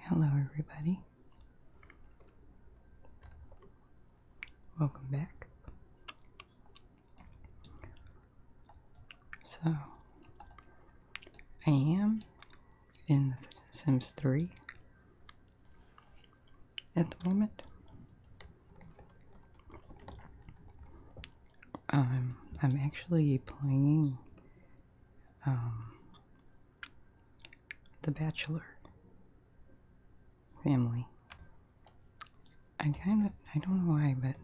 Hello, everybody. Welcome back. So, I am in Sims 3 at the moment. Um, I'm actually playing um, the Bachelor family. I kind of, I don't know why, but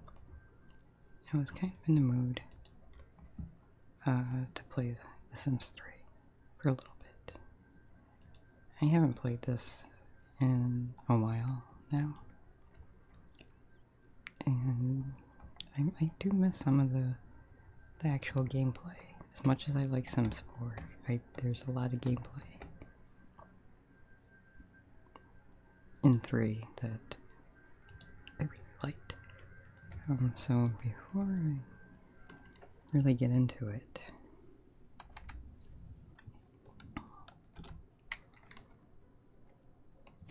I was kind of in the mood uh, to play The Sims 3 for a little bit. I haven't played this in a while now and I, do miss some of the the actual gameplay. As much as I like SimSport, I there's a lot of gameplay in three that I really liked. Um, so before I really get into it.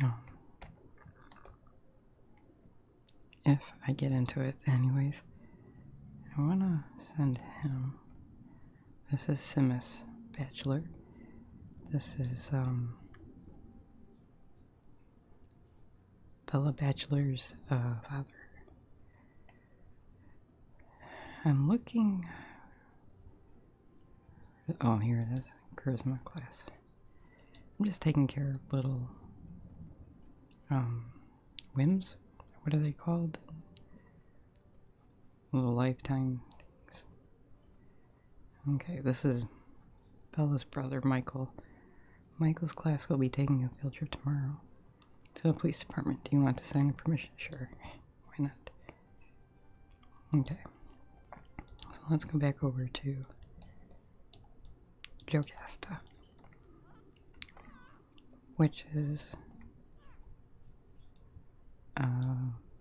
Um, if I get into it, anyways. I want to send him. This is Simus Bachelor. This is, um, Bella Bachelor's uh, father. I'm looking. Oh, here it is. Charisma class. I'm just taking care of little um, whims. What are they called? Little lifetime things. Okay, this is Bella's brother, Michael. Michael's class will be taking a field trip tomorrow to the police department. Do you want to sign a permission? Sure. Why not? Okay. So let's go back over to Joe Casta, which is uh,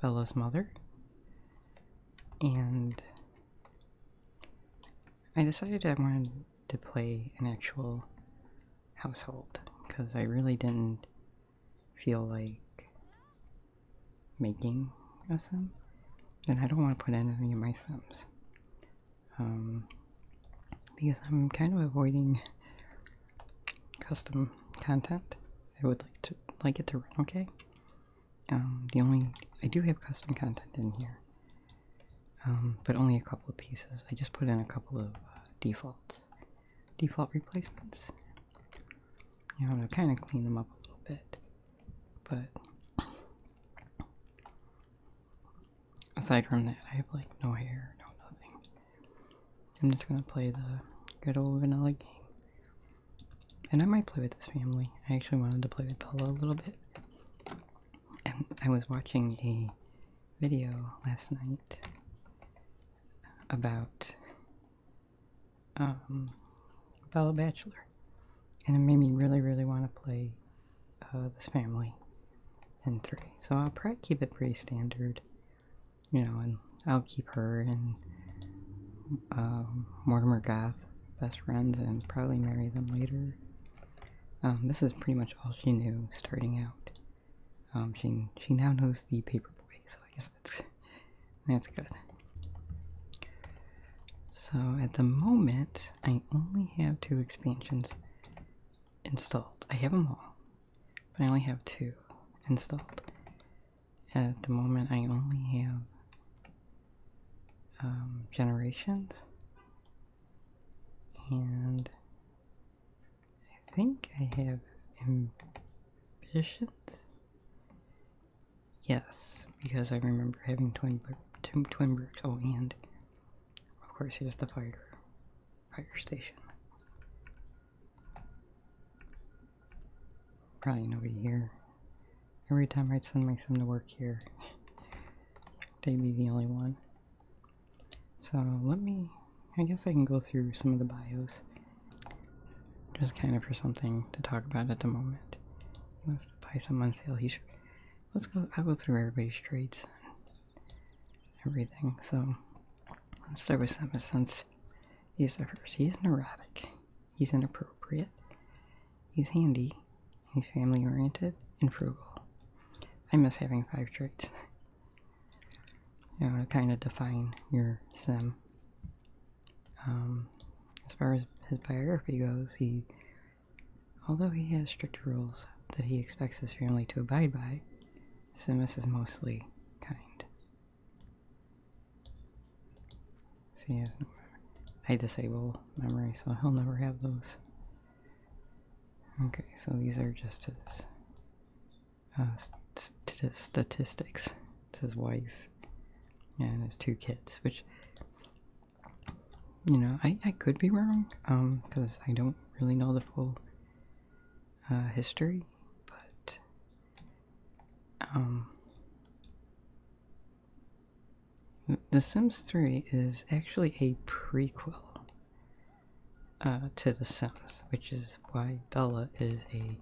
Bella's mother, and I decided I wanted to play an actual household because I really didn't feel like making a and I don't want to put anything in my sims. Um, because I'm kind of avoiding custom content. I would like to like it to run okay. Um, the only I do have custom content in here, um, but only a couple of pieces. I just put in a couple of uh, defaults, default replacements. You know to kind of clean them up a little bit. But aside from that, I have like no hair, no nothing. I'm just gonna play the good old vanilla game. And I might play with this family. I actually wanted to play with Bella a little bit. And I was watching a video last night about um, fellow bachelor, and it made me really, really want to play uh, this family in three. So I'll probably keep it pretty standard, you know, and I'll keep her and um, Mortimer Gath best friends and probably marry them later. Um, this is pretty much all she knew starting out. Um, she she now knows the paperboy, so I guess that's that's good. So at the moment, I only have two expansions installed. I have them all, but I only have two installed. At the moment, I only have um, Generations, and I think I have Ambitions Yes, because I remember having twin two twin bricks. Oh, and of course, there's the fire fire station. Probably nobody here. Every time i send my son to work here, they'd be the only one. So let me. I guess I can go through some of the bios. Just kind of for something to talk about at the moment let's buy some on sale each. Let's go, I'll go through everybody's trades and everything. So let's start with Simba since he's the first. He's neurotic, he's inappropriate, he's handy, he's family oriented, and frugal. I miss having five traits. you know, to kind of define your sim. Um, as far as his biography goes, he, although he has strict rules that he expects his family to abide by, Simus is mostly kind. See, so no I disable memory, so he'll never have those. Okay, so these are just uh, statistics. It's his wife and his two kids, which you know, I, I could be wrong, um, because I don't really know the full uh, history, but um, The Sims 3 is actually a prequel uh, to The Sims, which is why Bella is a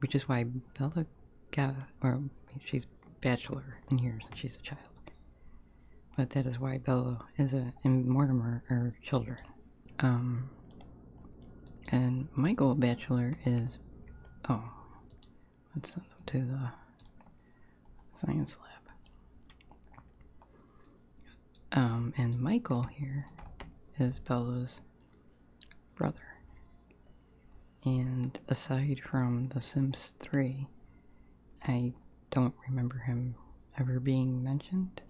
which is why Bella got, or she's bachelor in years, and she's a child. But that is why Bella is a, and Mortimer are children. Um, and Michael Bachelor is, oh, let's send them to the science lab. Um, and Michael here is Bella's brother. And aside from The Sims 3, I don't remember him ever being mentioned.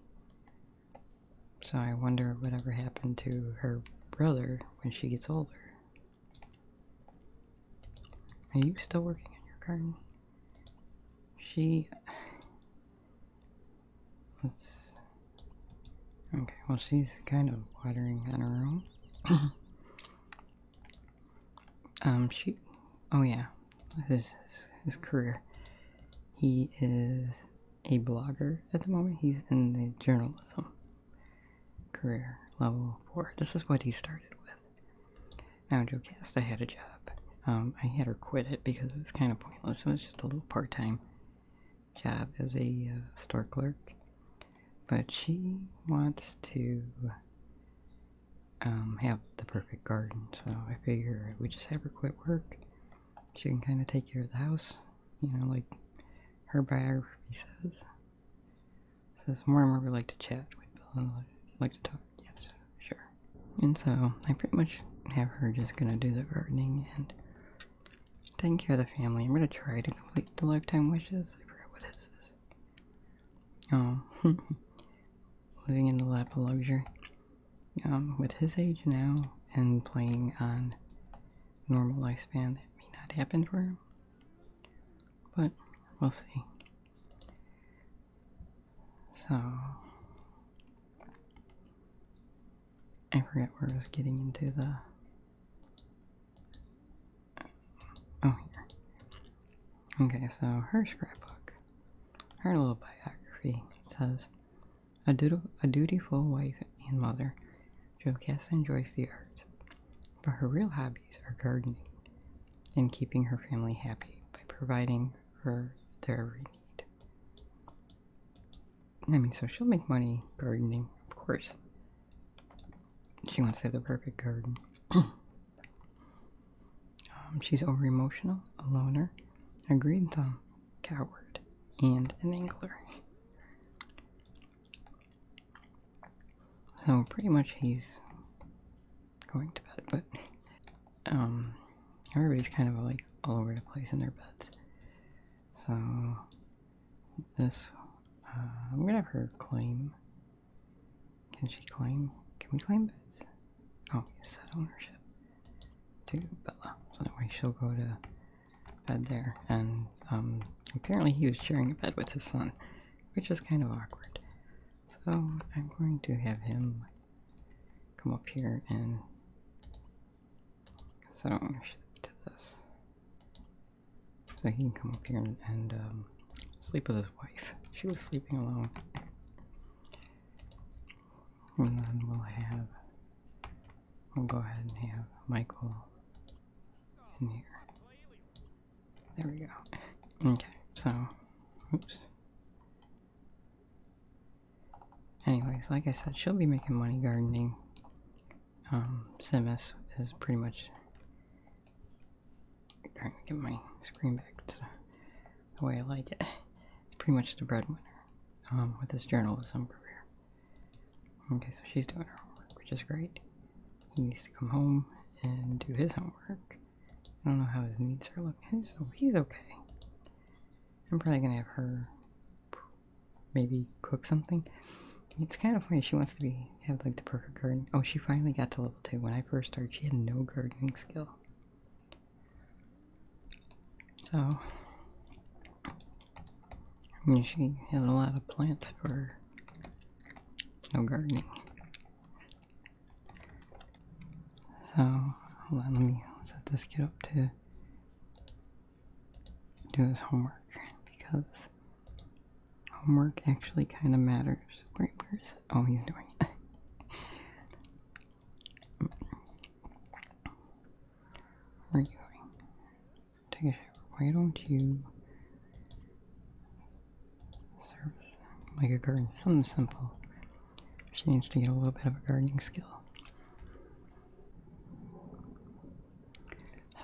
So I wonder whatever happened to her brother when she gets older. Are you still working on your garden? She. Let's Okay, well, she's kind of watering on her own. um, she. Oh, yeah. His, his career. He is a blogger at the moment. He's in the journalism career level four. This is what he started with. Now, Joe Casta had a job. Um, I had her quit it because it was kind of pointless. It was just a little part time job as a uh, store clerk, but she wants to um, have the perfect garden. So I figure we just have her quit work. She can kind of take care of the house, you know, like her biography says. Says more and more we like to chat with uh, like to talk. Yes, sure. And so I pretty much have her just gonna do the gardening and Taking care of the family. I'm gonna try to complete the lifetime wishes. I forgot what this is. Oh, living in the lap of luxury. Um, with his age now and playing on normal lifespan, that may not happen for him. But we'll see. So I forget where I was getting into the Oh, yeah. Okay, so her scrapbook, her little biography says, a, dutiful wife and mother, Jocasta enjoys the arts, but her real hobbies are gardening and keeping her family happy by providing for their every need. I mean, so she'll make money gardening, of course. She wants to have the perfect garden. Um, she's over emotional, a loner, a green thumb, coward, and an angler. So pretty much he's going to bed, but um, everybody's kind of like all over the place in their beds. So this. I'm gonna have her claim. Can she claim? Can we claim beds? Oh, set ownership to Bella. So anyway, she'll go to bed there. And um, apparently he was sharing a bed with his son, which is kind of awkward. So I'm going to have him come up here and set ownership to this. So he can come up here and, um, sleep with his wife. She was sleeping alone. And then we'll have. We'll go ahead and have Michael in here. There we go. Okay, so. Oops. Anyways, like I said, she'll be making money gardening um, is pretty much trying to get my screen back to the way I like it. It's pretty much the breadwinner um, with his journalism career. Okay, so she's doing her homework, which is great. He needs to come home and do his homework. I don't know how his needs are looking. he's okay. I'm probably gonna have her maybe cook something. It's kind of funny. She wants to be have like the perfect garden. Oh, she finally got to level two. When I first started, she had no gardening skill. So, she had a lot of plants for no gardening. So, hold on. Let me set this kid up to do his homework because homework actually kind of matters. Great Oh, he's doing it. Where are you going? Why don't you service like a garden? Something simple. She needs to get a little bit of a gardening skill.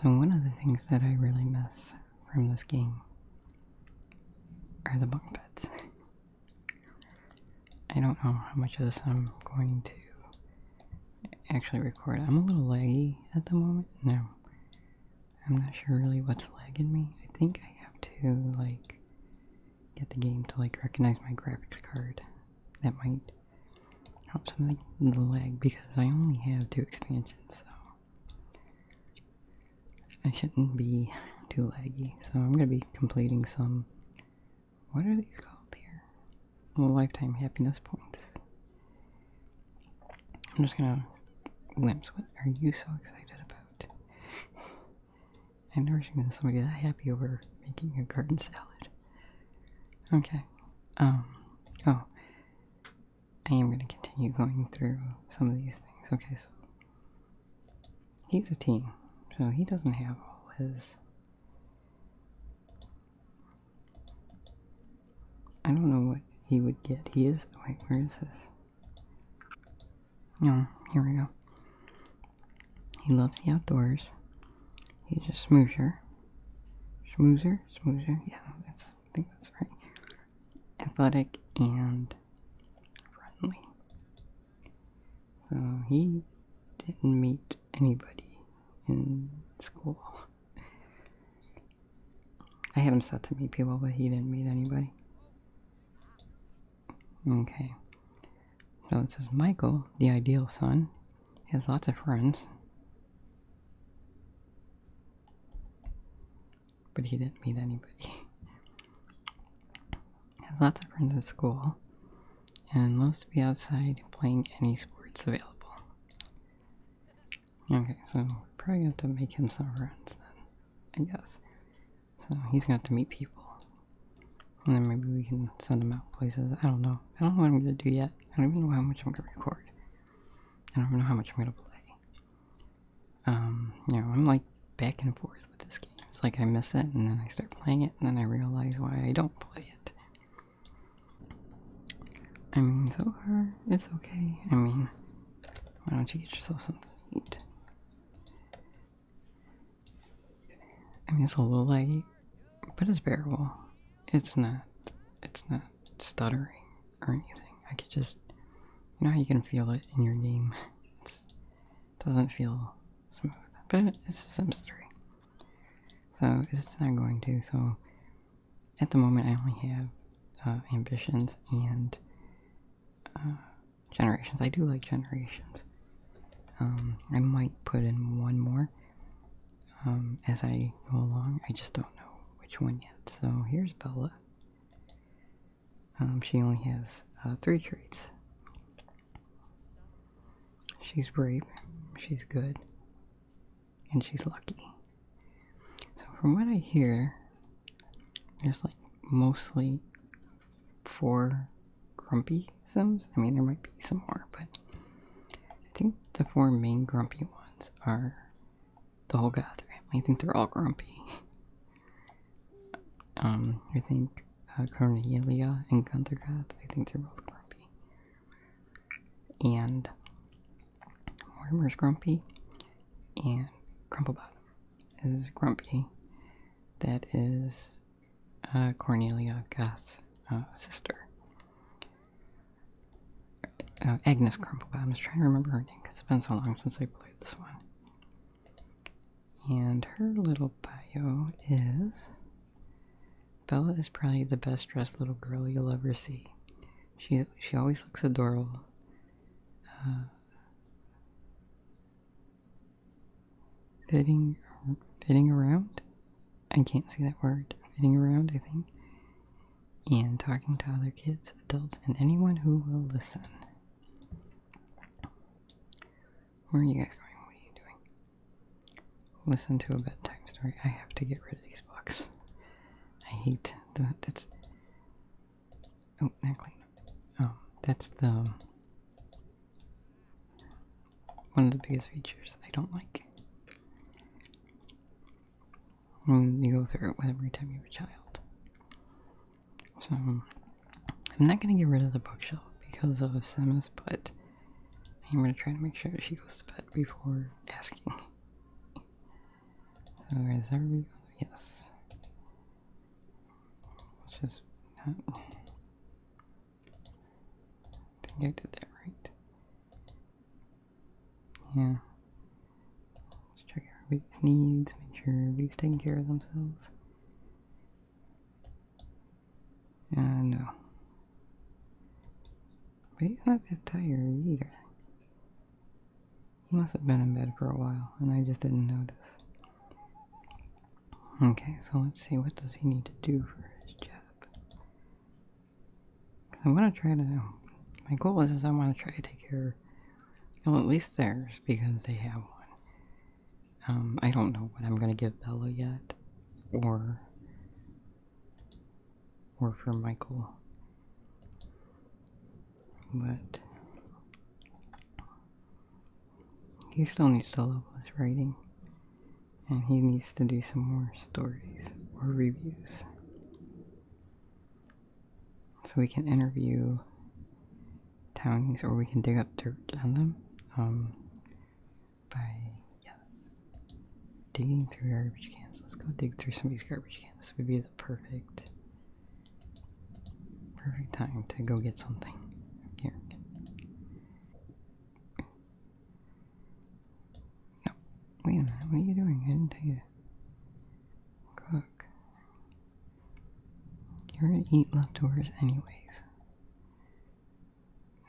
So, one of the things that I really miss from this game are the bunk beds. I don't know how much of this I'm going to actually record. I'm a little laggy at the moment. No, I'm not sure really what's lagging me. I think I have to, like, get the game to, like, recognize my graphics card. That might Hope something the lag because I only have two expansions, so I shouldn't be too laggy. So I'm gonna be completing some. What are these called here? Lifetime happiness points. I'm just gonna glimpse. What are you so excited about? I've never seen somebody that happy over making a garden salad. Okay. Um. Oh. I am gonna continue going through some of these things. Okay, so he's a teen, so he doesn't have all his. I don't know what he would get. He is. Wait, where is this? No, oh, here we go. He loves the outdoors. He's a smoosher. Schmoozer? Smoozer? Yeah, that's, I think that's right. Athletic and friendly. So he didn't meet anybody in school. I had him set to meet people, but he didn't meet anybody. Okay. So it says Michael, the ideal son, he has lots of friends. But he didn't meet anybody. he has lots of friends at school and loves to be outside playing any sports available. Okay, so probably have to make him some friends then, I guess. So he's gonna have to meet people. And then maybe we can send him out places. I don't know. I don't know what I'm gonna do yet. I don't even know how much I'm gonna record. I don't even know how much I'm gonna play. Um, you know, I'm like back and forth with this game. It's like I miss it and then I start playing it and then I realize why I don't play it. I mean, so far, it's okay. I mean, why don't you get yourself something to eat? I mean, it's a little late, but it's bearable it's not it's not stuttering or anything. I could just you know how you can feel it in your game. it doesn't feel smooth, but it's Sims 3. So it's not going to. So at the moment, I only have uh, ambitions and uh, generations. I do like generations. Um, I might put in one more um, as I go along. I just don't know which one yet. So here's Bella. Um, she only has uh, three traits. She's brave, she's good, and she's lucky. So from what I hear, there's like mostly four grumpy I mean, there might be some more, but I think the four main grumpy ones are the whole Goth family. I think they're all grumpy. Um, I think uh, Cornelia and Gunther Goth, I think they're both grumpy. And Mortimer's grumpy, and Crumplebottom is grumpy. That is uh, Cornelia Goth's uh, sister. Uh, Agnes Crumplebot. I'm just trying to remember her name because it's been so long since I played this one. And her little bio is Bella is probably the best dressed little girl you'll ever see. She she always looks adorable. Uh, fitting fitting around I can't say that word, fitting around, I think, and talking to other kids, adults, and anyone who will listen. Where are you guys going? What are you doing? Listen to a bedtime story. I have to get rid of these books. I hate the that's oh not Oh, um, that's the one of the biggest features I don't like. And you go through it every time you have a child. So, I'm not gonna get rid of the bookshelf because of Semis, but I'm gonna try to make sure she goes to bed before asking. So, is everybody Yes. Which is I think I did that right. Yeah. Let's check everybody's needs, make sure everybody's taking care of themselves. Uh, no. But he's not that tired either. He must have been in bed for a while, and I just didn't notice. Okay, so let's see, what does he need to do for his job? I want to try to. My goal is, is I want to try to take care. Well, at least theirs because they have one. Um, I don't know what I'm gonna give Bella yet, or or for Michael, but he still needs to love his writing and he needs to do some more stories or reviews. So we can interview townies or we can dig up dirt on them um, by, yes, digging through garbage cans. Let's go dig through some of these garbage cans. This would be the perfect, perfect time to go get something. Here. No, wait a minute, what are you doing? I didn't tell you to cook. You're gonna eat leftovers anyways.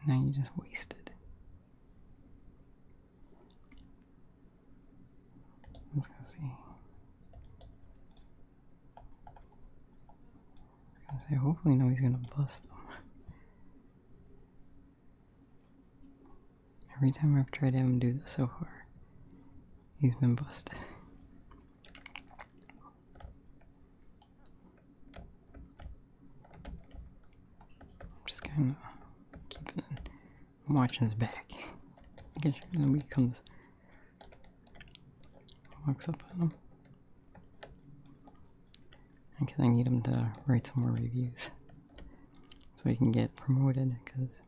Now you just wasted. Let's go see. I was going say, hopefully nobody's gonna bust them. Every time I've tried to him do this so far, he's been busted. I'm just kinda keeping it. i watching his back. Making sure nobody comes walks up on him. Because I need him to write some more reviews so he can get promoted. Because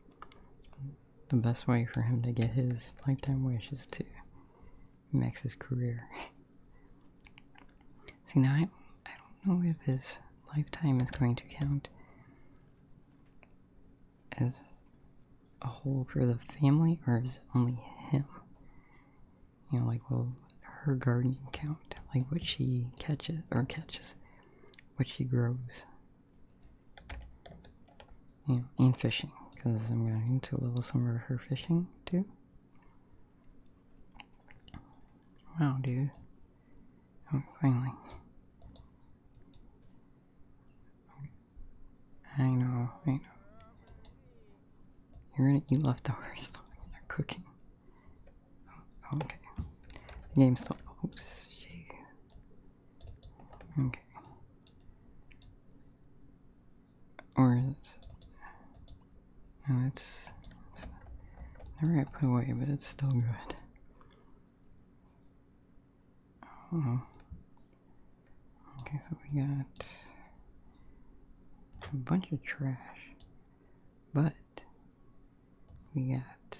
the best way for him to get his lifetime wish is to max his career. See, now I, I don't know if his lifetime is going to count as a whole for the family or is it only him? you know, like well, her gardening count? Like what she catches or catches, what she grows. You know, and fishing, because I'm going to level some of her fishing too. Wow, dude. Oh, finally. I know, I know. You're gonna eat leftovers when you're cooking. Oh, okay. The game's still. Oh shit. Okay. Or is No, it's, it's never got put away, but it's still good. Oh. Okay, so we got a bunch of trash, but we got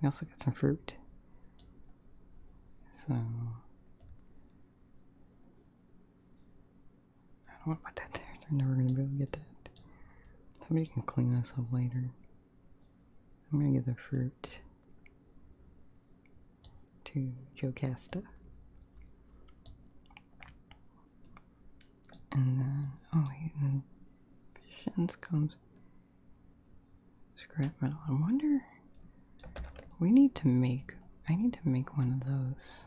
we also got some fruit. So I don't want to put that there. They're never gonna be able to get that. Somebody can clean this up later. I'm gonna get the fruit to Jocasta. And then, oh wait, and Shins comes scrap metal. I wonder, we need to make, I need to make one of those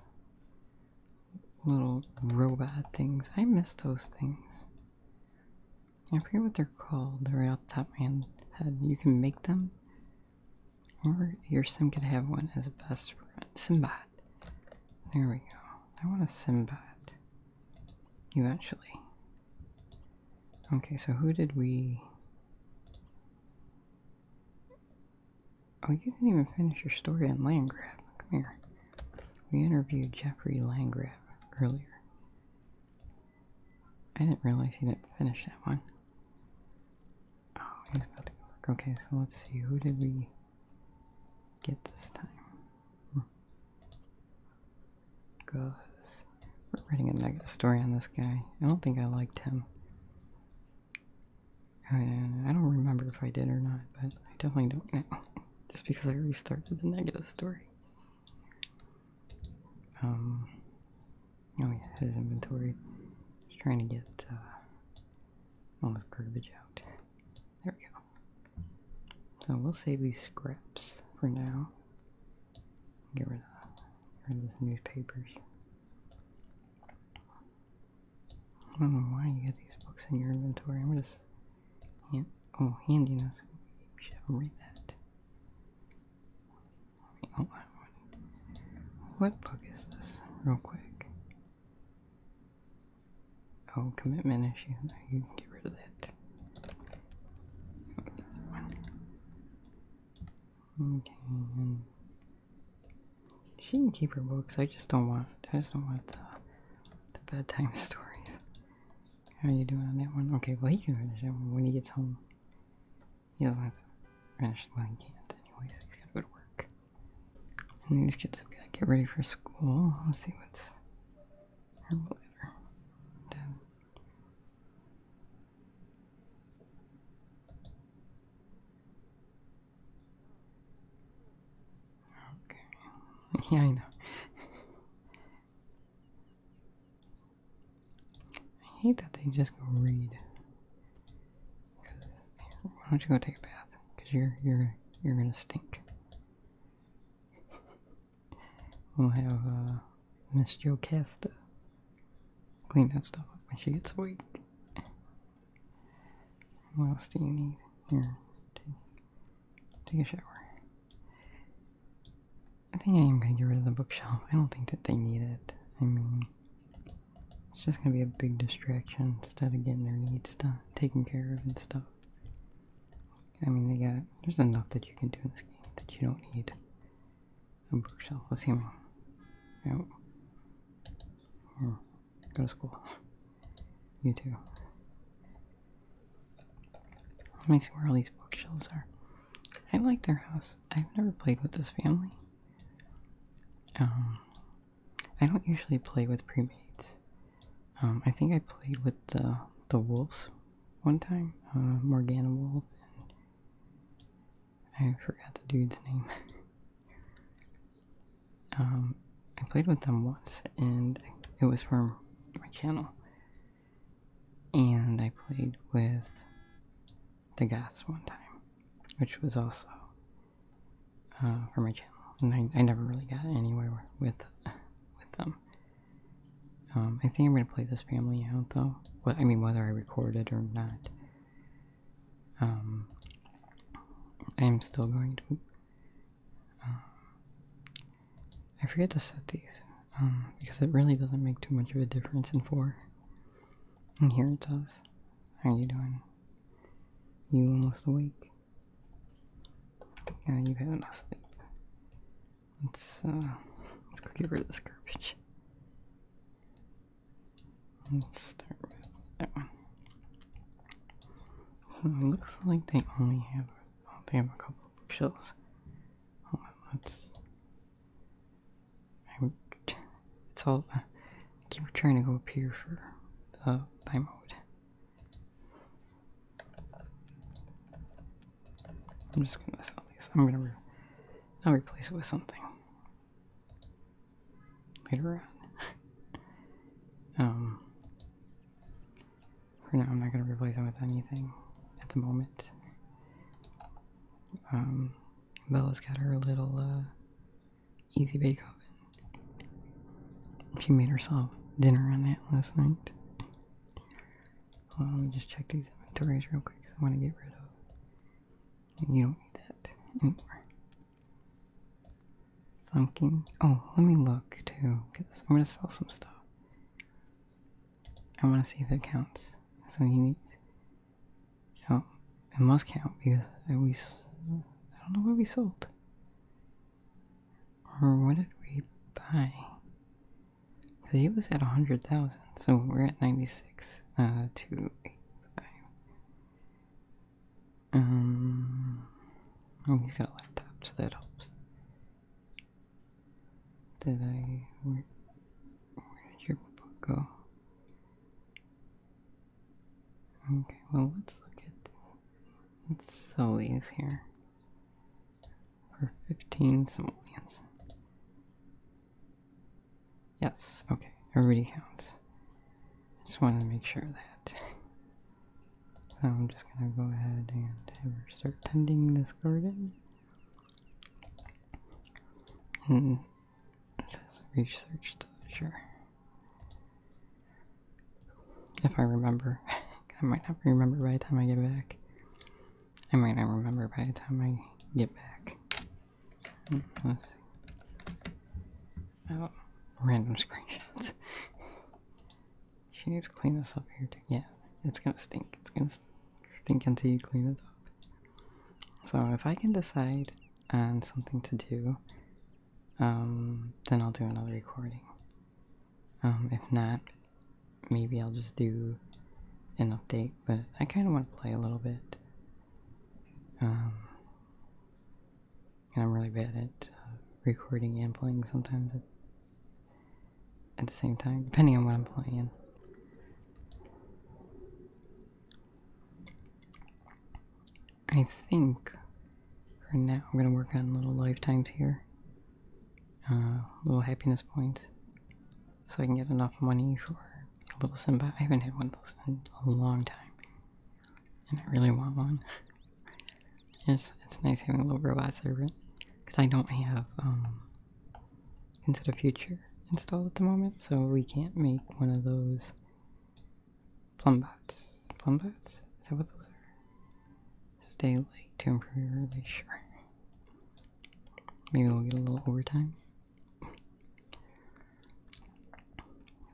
little robot things. I miss those things. I forget what they're called right off the top of my head. You can make them, or your sim could have one as a best friend. Simbat. There we go. I want a You actually. Okay, so who did we... Oh, you didn't even finish your story on Landgrab. Come here. We interviewed Jeffrey Landgrab earlier. I didn't realize you didn't finish that one. Oh, okay, so let's see. Who did we get this time? because hmm. We're writing a negative story on this guy. I don't think I liked him. I, don't remember if I did or not, but I definitely don't now. Just because I restarted the negative story. Um. Oh yeah, his inventory. Just trying to get uh, all this garbage out. There we go. So we'll save these scraps for now. Get rid of, get rid of these newspapers. I don't know why you got these books in your inventory. I'm just hand, oh handiness. should read that. Oh, What book is this? Real quick. Oh, commitment issue. No, you can get rid of that. Okay, she can keep her books. I just don't want. I just don't want the, the bedtime stories. How are you doing on that one? Okay, well he can finish that one when he gets home. He doesn't have to finish. Well, he can't anyways. He's got to go to work these kids got to get ready for school. Let's see what's Okay. Yeah, I know. I hate that they just go read. Why don't you go take a bath? Cause you're you're you're gonna stink. we'll have uh, Miss Jocasta clean that stuff up when she gets awake. What else do you need? Here, take, take a shower. I think I am gonna get rid of the bookshelf. I don't think that they need it. I mean, it's just gonna be a big distraction instead of getting their needs done, taken care of and stuff. I mean, they got there's enough that you can do in this game that you don't need a bookshelf. Let's see me. Out. Here. Go to school. You too. Let me see where all these bookshelves are. I like their house. I've never played with this family. Um, I don't usually play with premates. Um, I think I played with the the wolves one time, uh, Morgana Wolf, and I forgot the dude's name. Um, I played with them once, and it was from my channel. And I played with the gas one time, which was also uh, for my channel, and I, never really got anywhere with with them. Um, I think I'm gonna play this family out though. Well, I mean, whether I record it or not, um, I'm still going to. Um, I forget to set these because it really doesn't make too much of a difference in four. And here it says, "How are you doing?" You almost awake. Now you've had enough sleep. Let's uh, let's go get rid of this garbage. Let's start with that one. So it looks like they only have they have a couple bookshelves. let's I'm, it's all, I keep trying to go up here for the time mode. I'm just gonna sell these. I'm gonna I'll replace it with something later on. um, for now, I'm not gonna replace it with anything at the moment. Um, Bella's got her little uh, Easy Bake Oven. She made herself dinner on that last night. let me just check these inventories real quick because I want to get rid of. You don't need that anymore. Pumpkin. Oh, let me look too because I'm going to sell some stuff. I want to see if it counts. So you need no, it must count because I we. I don't know what we sold. Or what did we buy? Because he was at 100,000, so we're at 96, uh, 285. Um. Oh, he's got a laptop, so that helps. Did I. where did your book go? Okay, well let's look at let's sell these here for fifteen simoleons. Yes, okay, everybody counts. Just wanted to make sure that. So I'm just gonna go ahead and start tending this garden. And it says research sure. If I remember. I might not remember by the time I get back. I might not remember by the time I get back. Hmm, let's Oh, random screenshots. she needs to clean this up here too. Yeah, it's gonna stink. It's gonna stink until you clean it up. So if I can decide and something to do, um, then I'll do another recording. Um, if not, maybe I'll just do an update, but I kind of want to play a little bit. Um, and I'm really bad at uh, recording and playing sometimes at the same time, depending on what I'm playing. I think for now I'm gonna work on little lifetimes here. Uh, little happiness points. So I can get enough money for a little Simba. I haven't had one of those in a long time. And I really want one. it's, it's nice having a little robot servant Because I don't have, um, instead of future installed at the moment, so we can't make one of those plumbots? Plumbots. Plumbots? Is that what those are? Stay late to improve your release. Sure. Maybe we'll get a little overtime.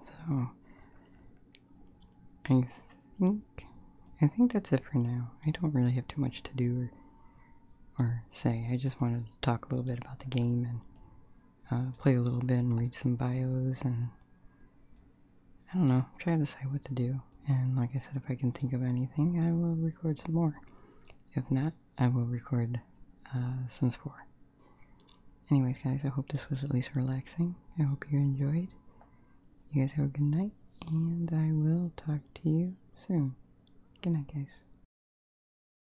So, I think I think that's it for now. I don't really have too much to do or, or say. I just wanted to talk a little bit about the game and uh, play a little bit and read some bios and I don't know, try to decide what to do. And like I said, if I can think of anything, I will record some more. If not, I will record uh, Sims 4. Anyways, guys, I hope this was at least relaxing. I hope you enjoyed. You guys have a good night, and I will talk to you soon. Good night, guys.